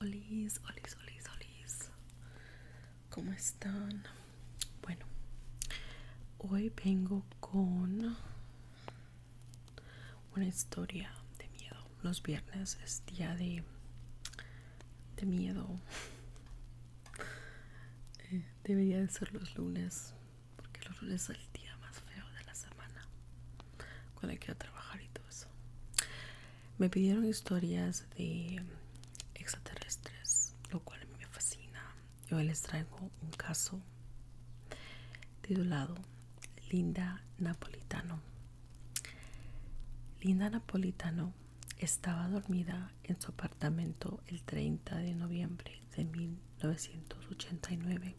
Hola, olis, olis, olis. ¿Cómo están? Bueno, hoy vengo con una historia de miedo. Los viernes es día de, de miedo. Eh, debería de ser los lunes, porque los lunes es el día más feo de la semana cuando hay que ir a trabajar y todo eso me pidieron historias de extraterrestres lo cual a mí me fascina yo les traigo un caso titulado Linda Napolitano Linda Napolitano estaba dormida en su apartamento el 30 de noviembre de mil 1989,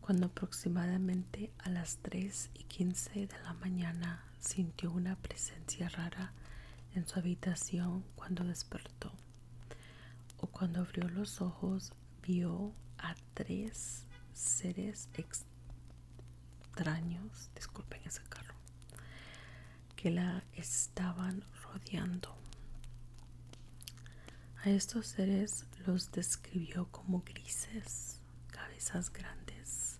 cuando aproximadamente a las 3 y 15 de la mañana sintió una presencia rara en su habitación cuando despertó o cuando abrió los ojos vio a tres seres extraños, disculpen ese carro, que la estaban rodeando. A estos seres los describió como grises, cabezas grandes,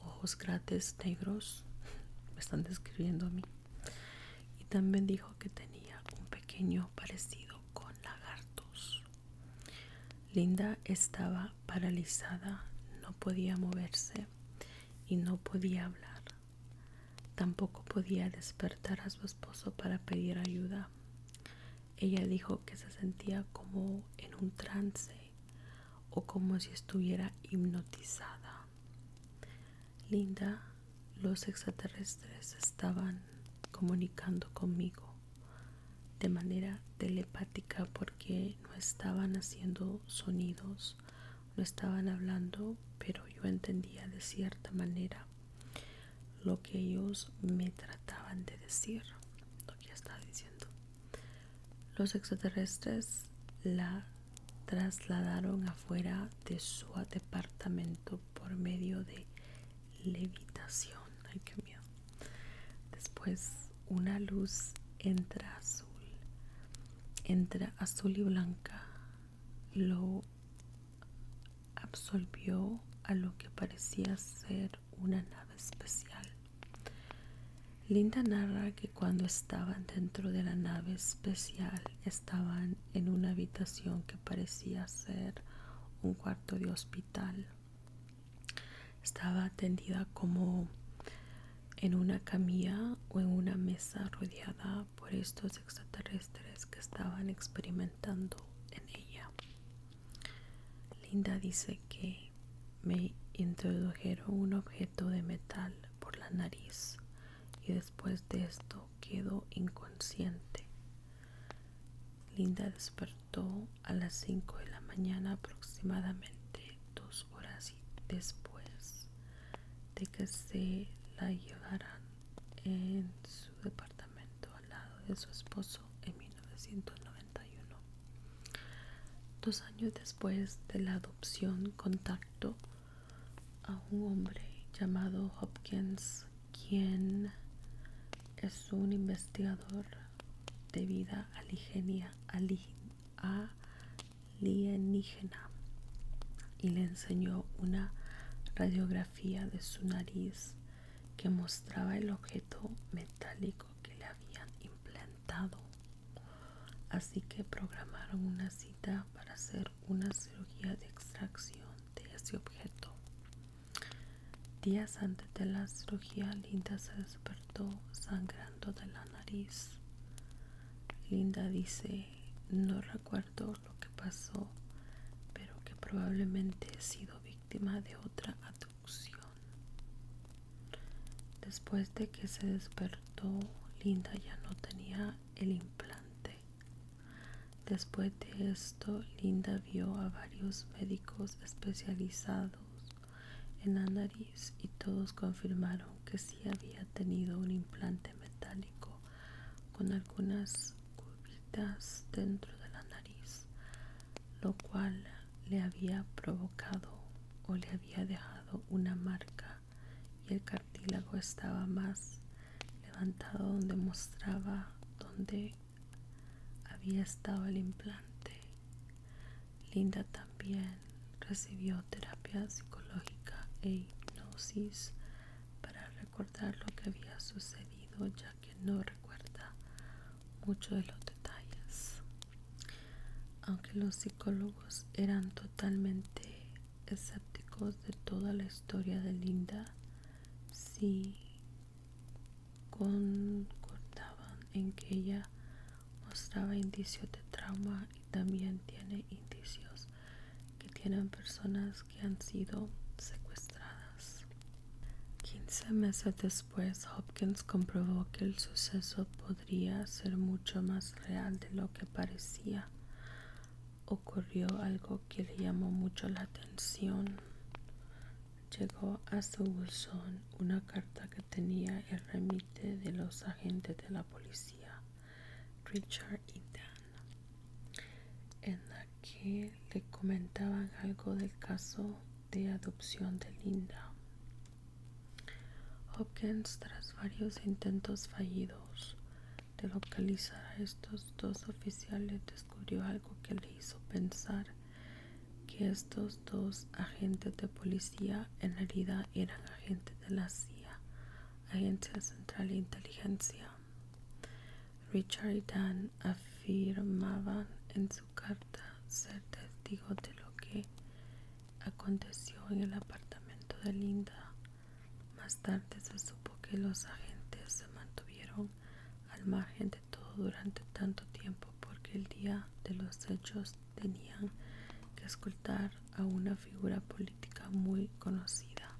ojos grandes negros, me están describiendo a mí. Y también dijo que tenía un pequeño parecido con lagartos. Linda estaba paralizada, no podía moverse y no podía hablar. Tampoco podía despertar a su esposo para pedir ayuda. Ella dijo que se sentía como en un trance o como si estuviera hipnotizada. Linda, los extraterrestres estaban comunicando conmigo de manera telepática porque no estaban haciendo sonidos, no estaban hablando, pero yo entendía de cierta manera lo que ellos me trataban de decir, lo que está diciendo. Los extraterrestres la trasladaron afuera de su departamento por medio de levitación. Ay, qué miedo. Después una luz entra azul, entra azul y blanca lo absolvió a lo que parecía ser una nave especial. Linda narra que cuando estaban dentro de la nave especial estaban en una habitación que parecía ser un cuarto de hospital. Estaba tendida como en una camilla o en una mesa rodeada por estos extraterrestres que estaban experimentando en ella. Linda dice que me introdujeron un objeto de metal por la nariz y después de esto quedó inconsciente. Linda despertó a las 5 de la mañana aproximadamente dos horas después de que se la llevaran en su departamento al lado de su esposo en 1991. Dos años después de la adopción contactó a un hombre llamado Hopkins, quien es un investigador de vida alienígena y le enseñó una radiografía de su nariz que mostraba el objeto metálico que le habían implantado. Así que programaron una cita para hacer una cirugía de extracción de ese objeto. Días antes de la cirugía, Linda se despertó sangrando de la nariz. Linda dice, no recuerdo lo que pasó, pero que probablemente he sido víctima de otra abducción. Después de que se despertó, Linda ya no tenía el implante. Después de esto, Linda vio a varios médicos especializados en la y todos confirmaron que sí había tenido un implante metálico con algunas curvitas dentro de la nariz, lo cual le había provocado o le había dejado una marca y el cartílago estaba más levantado donde mostraba donde había estado el implante. Linda también recibió terapia psicológica e hipnosis para recordar lo que había sucedido ya que no recuerda mucho de los detalles. Aunque los psicólogos eran totalmente escépticos de toda la historia de Linda, sí concordaban en que ella mostraba indicios de trauma y también tiene indicios que tienen personas que han sido secuestradas. 15 meses después, Hopkins comprobó que el suceso podría ser mucho más real de lo que parecía. Ocurrió algo que le llamó mucho la atención. Llegó a su buzón una carta que tenía el remite de los agentes de la policía, Richard y Dan en la que le comentaban algo del caso de adopción de Linda. Hopkins, tras varios intentos fallidos de localizar a estos dos oficiales, descubrió algo que le hizo pensar que estos dos agentes de policía en herida eran agentes de la CIA, Agencia Central de Inteligencia. Richard y Dan afirmaban en su carta ser testigos de lo que aconteció en el apartamento de Linda. Más tarde se supo que los agentes se mantuvieron al margen de todo durante tanto tiempo porque el día de los hechos tenían que escuchar a una figura política muy conocida.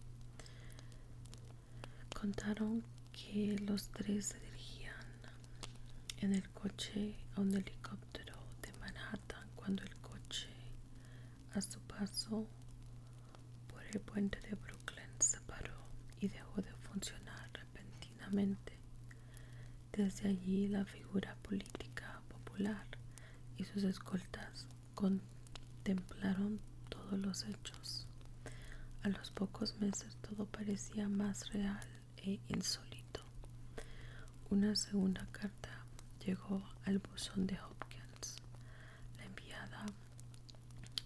Contaron que los tres se dirigían en el coche a un helicóptero de Manhattan cuando el coche a su paso por el puente de Brooklyn se paró y dejó de funcionar repentinamente. Desde allí la figura política popular y sus escoltas contemplaron todos los hechos. A los pocos meses todo parecía más real e insólito. Una segunda carta llegó al buzón de Hopkins. La enviada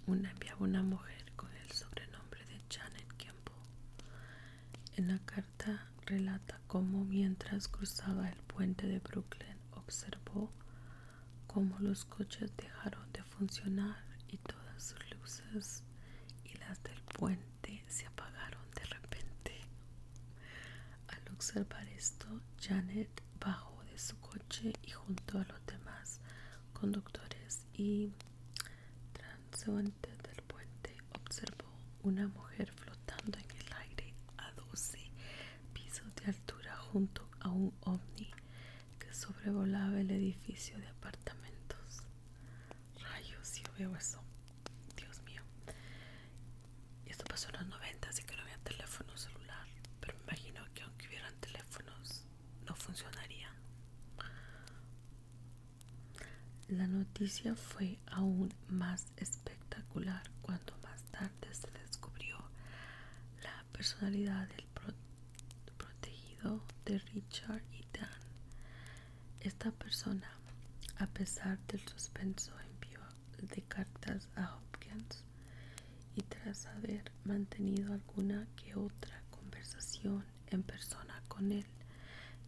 una enviaba una mujer con el sobrenombre de Janet Campbell. En la carta relata cómo mientras cruzaba el puente de Brooklyn observó como los coches dejaron de funcionar y todas sus luces y las del puente se apagaron de repente. Al observar esto, Janet bajó de su coche y junto a los demás conductores y transeúntes del puente observó una mujer flotando en el aire a 12 pisos de altura junto a un ovni que sobrevolaba el edificio de apartamentos. Rayos, y veo eso. Dios mío. Esto pasó en los 90, así que no había teléfono celular. Pero me imagino que aunque hubieran teléfonos, no funcionaría. La noticia fue aún más espectacular cuando más tarde se descubrió la personalidad del protegido de Richard y Dan. Esta persona, a pesar del suspenso, envió de cartas a Hopkins y tras haber mantenido alguna que otra conversación en persona con él,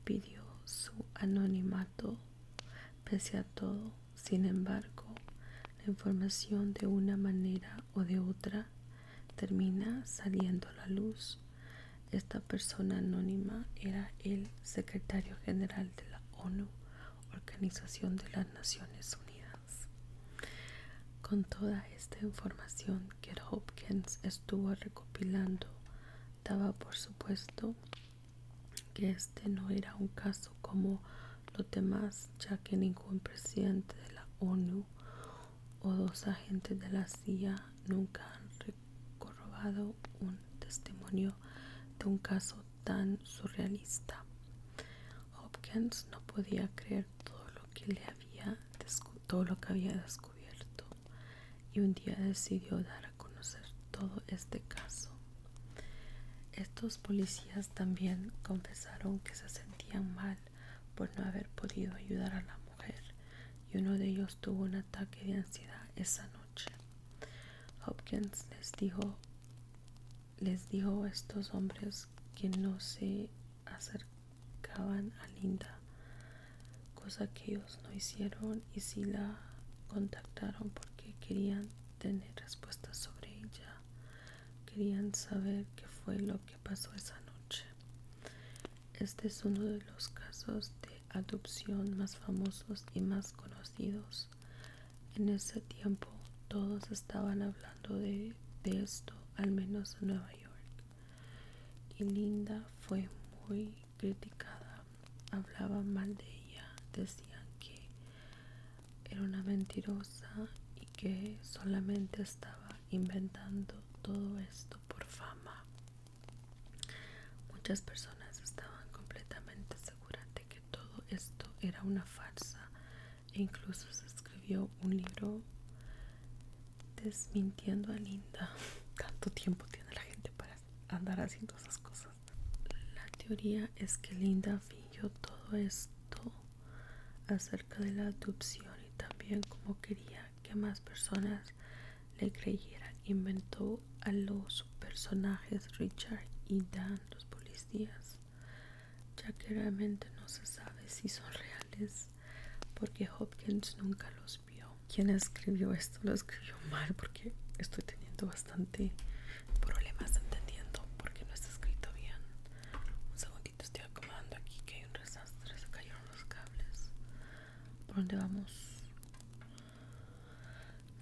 pidió su anonimato pese a todo. Sin embargo, la información de una manera o de otra termina saliendo a la luz. Esta persona anónima era el secretario general de la ONU, Organización de las Naciones Unidas. Con toda esta información que Hopkins estuvo recopilando, daba por supuesto que este no era un caso como los demás, ya que ningún presidente de la ONU o dos agentes de la CIA nunca han corrobado un testimonio de un caso tan surrealista. Hopkins no podía creer todo lo que le había lo que había descubierto y un día decidió dar a conocer todo este caso. Estos policías también confesaron que se sentían mal por no haber podido ayudar a la mujer y uno de ellos tuvo un ataque de ansiedad esa noche. Hopkins les dijo, les dijo a estos hombres que no se acercaban a Linda, cosa que ellos no hicieron y sí la contactaron porque querían tener respuestas sobre ella. Querían saber qué fue lo que pasó esa noche. Este es uno de los casos de adopción más famosos y más conocidos. En ese tiempo todos estaban hablando de, de esto, al menos en Nueva York. Y Linda fue muy criticada. Hablaba mal de ella. Decían que era una mentirosa y que solamente estaba inventando todo esto por fama. Muchas personas estaban completamente seguras de que todo esto era una farsa e incluso se escribió un libro desmintiendo a Linda. Tanto tiempo tiene la gente para andar haciendo esas cosas. La teoría es que Linda fingió todo esto acerca de la adopción y también como quería que más personas le creyeran, inventó a los personajes Richard y Dan, los policías, ya que realmente no se sabe si son reales porque Hopkins nunca los vio. Quien escribió esto lo escribió mal porque estoy teniendo bastante problemas entendiendo porque no está escrito bien. Te estoy acomodando aquí que hay un desastre, se cayeron los cables. ¿Por dónde vamos?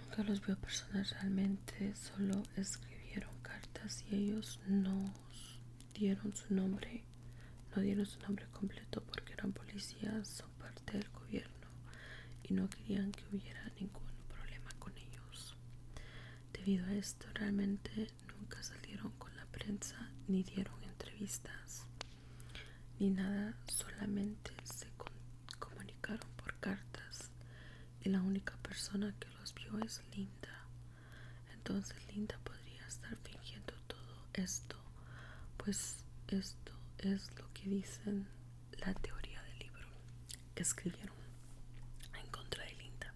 Nunca los veo personas realmente, solo escribieron cartas y ellos no dieron su nombre, no dieron su nombre completo porque eran policías, son parte del gobierno y no querían que hubiera ningún problema con ellos. Debido a esto realmente nunca salieron con la prensa ni dieron entrevistas ni nada, solamente se comunicaron por cartas y la única persona que los vio es Linda. Entonces Linda podría estar fingiendo todo esto, pues esto es lo que dicen la teoría del libro que escribieron en contra de Linda.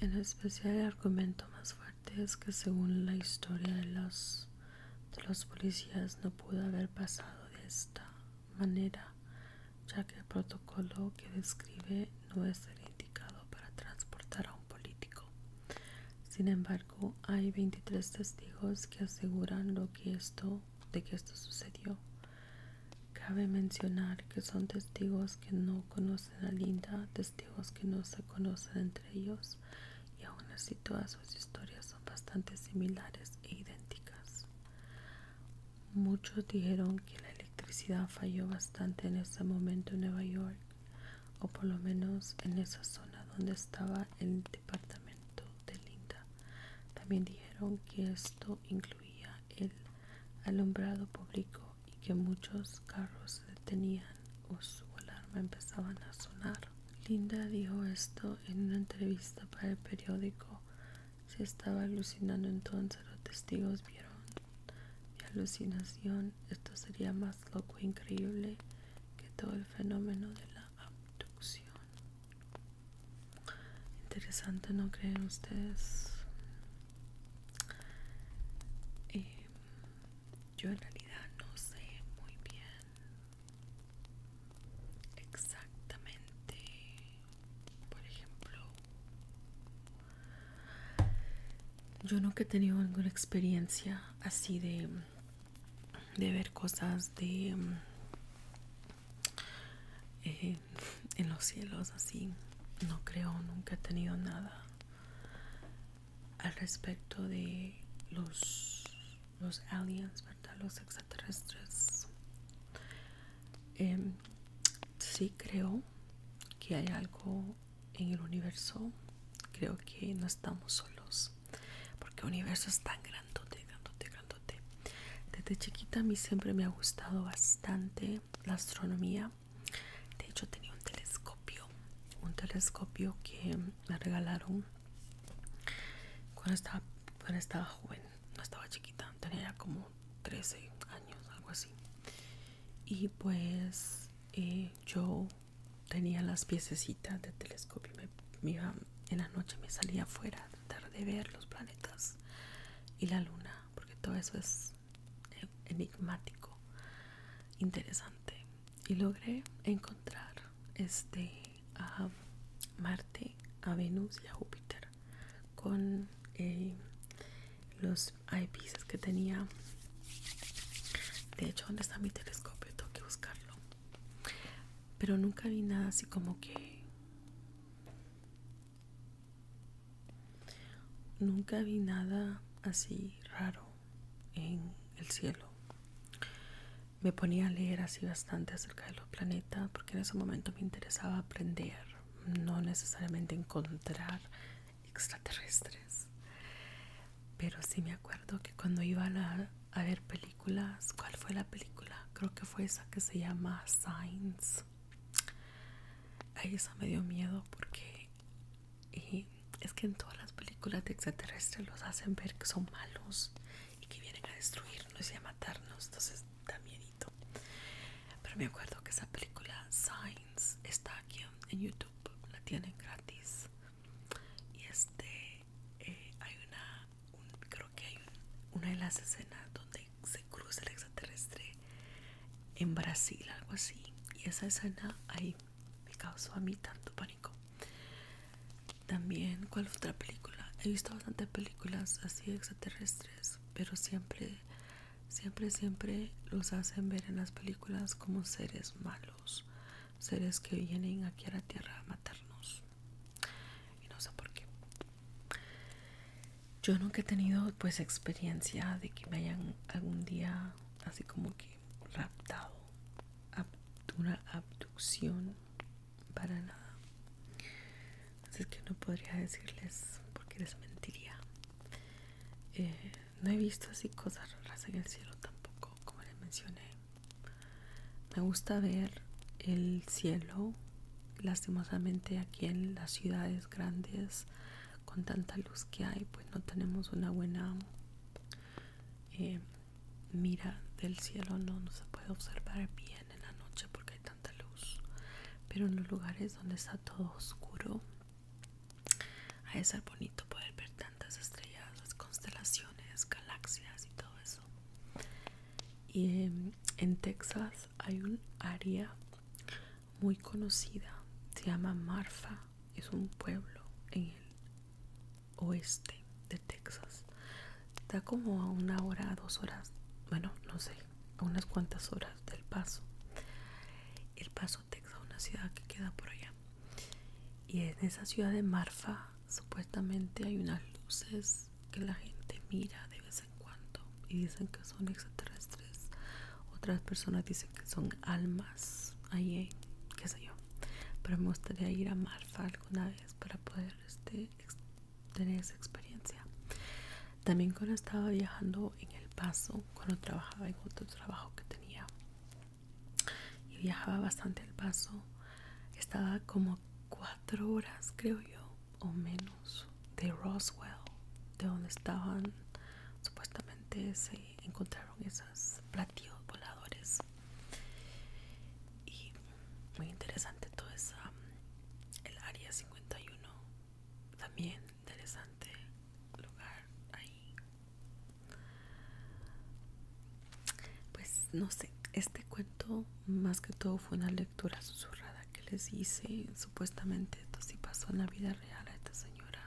En especial el argumento más fuerte es que según la historia de los, de los policías no pudo haber pasado de esta manera, ya que el protocolo que describe no es el indicado para transportar a un político. Sin embargo, hay 23 testigos que aseguran lo que de que esto sucedió. Cabe mencionar que son testigos que no conocen a Linda, testigos que no se conocen entre ellos y aún así todas sus historias son bastante similares e idénticas. Muchos dijeron que la electricidad falló bastante en ese momento en Nueva York, o por lo menos en esa zona donde estaba el departamento de Linda. También dijeron que esto incluía el alumbrado público y que muchos carros se detenían o su alarma empezaban a sonar. Linda dijo esto en una entrevista para el periódico. Se estaba alucinando entonces, los testigos vieron mi alucinación. Esto sería más loco e increíble que todo el fenómeno de la abducción. Interesante, ¿no creen ustedes? Em, yo en realidad no sé muy bien exactamente, por ejemplo, yo no que he tenido ninguna experiencia así de, de ver cosas de... Em, eh, en los cielos así no creo, nunca he tenido nada al respecto de los, los aliens, ¿verdad? Los extraterrestres. Em, sí creo que hay algo en el universo. Creo que no estamos solos. Porque el universo es tan grandote, grandote, grandote. Desde chiquita a mí siempre me ha gustado bastante la astronomía de hecho tenía un telescopio un telescopio que me regalaron cuando estaba, cuando estaba joven no estaba chiquita tenía como 13 años algo así y pues eh, yo tenía las piececitas de telescopio me, en la noche me salía afuera a tratar de ver los planetas y la luna porque todo eso es enigmático, interesante. Y logré encontrar este a Marte, a Venus y a Júpiter con eh, los eyepieces que tenía. De hecho, donde está mi telescopio, tengo que buscarlo. Pero nunca vi nada así como que Nunca vi nada así raro en el cielo. Me ponía a leer así bastante acerca de los planetas porque en ese momento me interesaba aprender, no necesariamente encontrar extraterrestres. Pero sí me acuerdo que cuando iba a, ver películas, ¿cuál fue la película? Creo que fue esa que se llama Science ahí eso me dio miedo porque es que en todas las películas de extraterrestres los hacen ver que son malos y que vienen a destruirnos y a matarnos. Entonces, da miedito. Pero me acuerdo que esa película Signs está aquí en YouTube, la tienen gratis. Y este, eh, hay una, creo que hay una de las escenas donde se cruza el extraterrestre en Brasil, algo así. Y esa escena ahí me causó a mí tanto pánico. También, ¿cuál otra película? He visto bastantes películas así extraterrestres, pero siempre, siempre, siempre los hacen ver en las películas como seres malos, seres que vienen aquí a la Tierra a matarnos. Y no sé por qué yo nunca he tenido pues experiencia de que me hayan algún día así como que raptado una abducción para nada así que no podría decirles porque les mentiría eh, no he visto así cosas raras en el cielo tampoco como les mencioné me gusta ver el cielo lastimosamente aquí en las ciudades grandes con tanta luz que hay pues no tenemos una buena eh, mira del cielo no, se puede observar bien en la noche porque hay tanta luz pero en los lugares donde está todo oscuro a de ser bonito poder ver tantas estrellas las constelaciones galaxias y todo eso y em, en Texas hay un área muy conocida, se llama Marfa, es un pueblo en el oeste de Texas. Está como a una hora, a dos horas, bueno, no sé, a unas cuantas horas del paso. El paso Texas, una ciudad que queda por allá. Y en esa ciudad de Marfa supuestamente hay unas luces que la gente mira de vez en cuando y dicen que son extraterrestres. Otras personas dicen son almas ahí, qué sé yo. Pero me gustaría ir a Marfa alguna vez para poder este, tener esa experiencia. También cuando estaba viajando en El Paso, cuando trabajaba en otro trabajo que tenía y viajaba bastante El Paso, estaba como cuatro horas creo yo o menos de Roswell, de donde estaban supuestamente se encontraron esos platillos voladores. Y muy interesante todo esa el área 51, también interesante lugar ahí. Pues no sé, este cuento más que todo fue una lectura susurrada que les hice, supuestamente esto sí pasó en la vida a esta señora.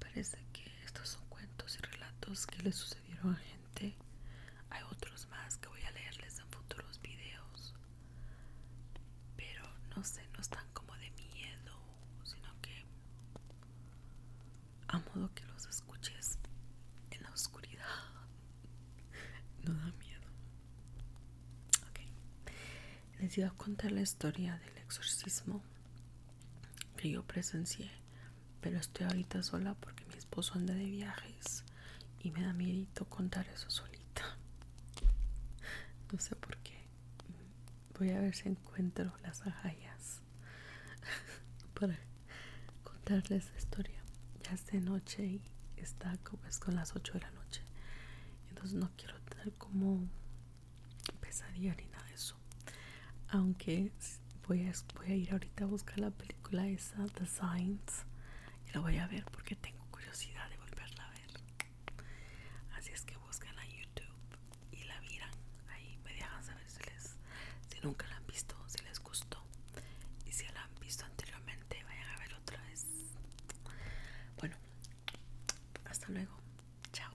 parece que estos son cuentos y relatos que le sucedieron a gente. Hay otros más que voy a leerles en futuros videos. Pero no sé, no están como de miedo, sino que a modo que los escuches en la oscuridad no da miedo. Ok Les iba a contar la historia del exorcismo que yo presencié, pero estoy ahorita sola porque mi esposo anda de viajes y me da miedo contar eso solita. No sé por qué. Voy a ver si encuentro las agallas para contarles la historia. Ya de noche y está como es pues, con las 8 de la noche entonces no quiero tener como pesadilla ni nada de eso aunque voy a, voy a ir ahorita a buscar la película esa The Signs y la voy a ver porque tengo curiosidad de volverla a ver así es que buscan a YouTube y la miran ahí me dejan saber si les si nunca la han visto si les gustó y si la han visto anteriormente te vayan a ver otra vez bueno hasta luego chao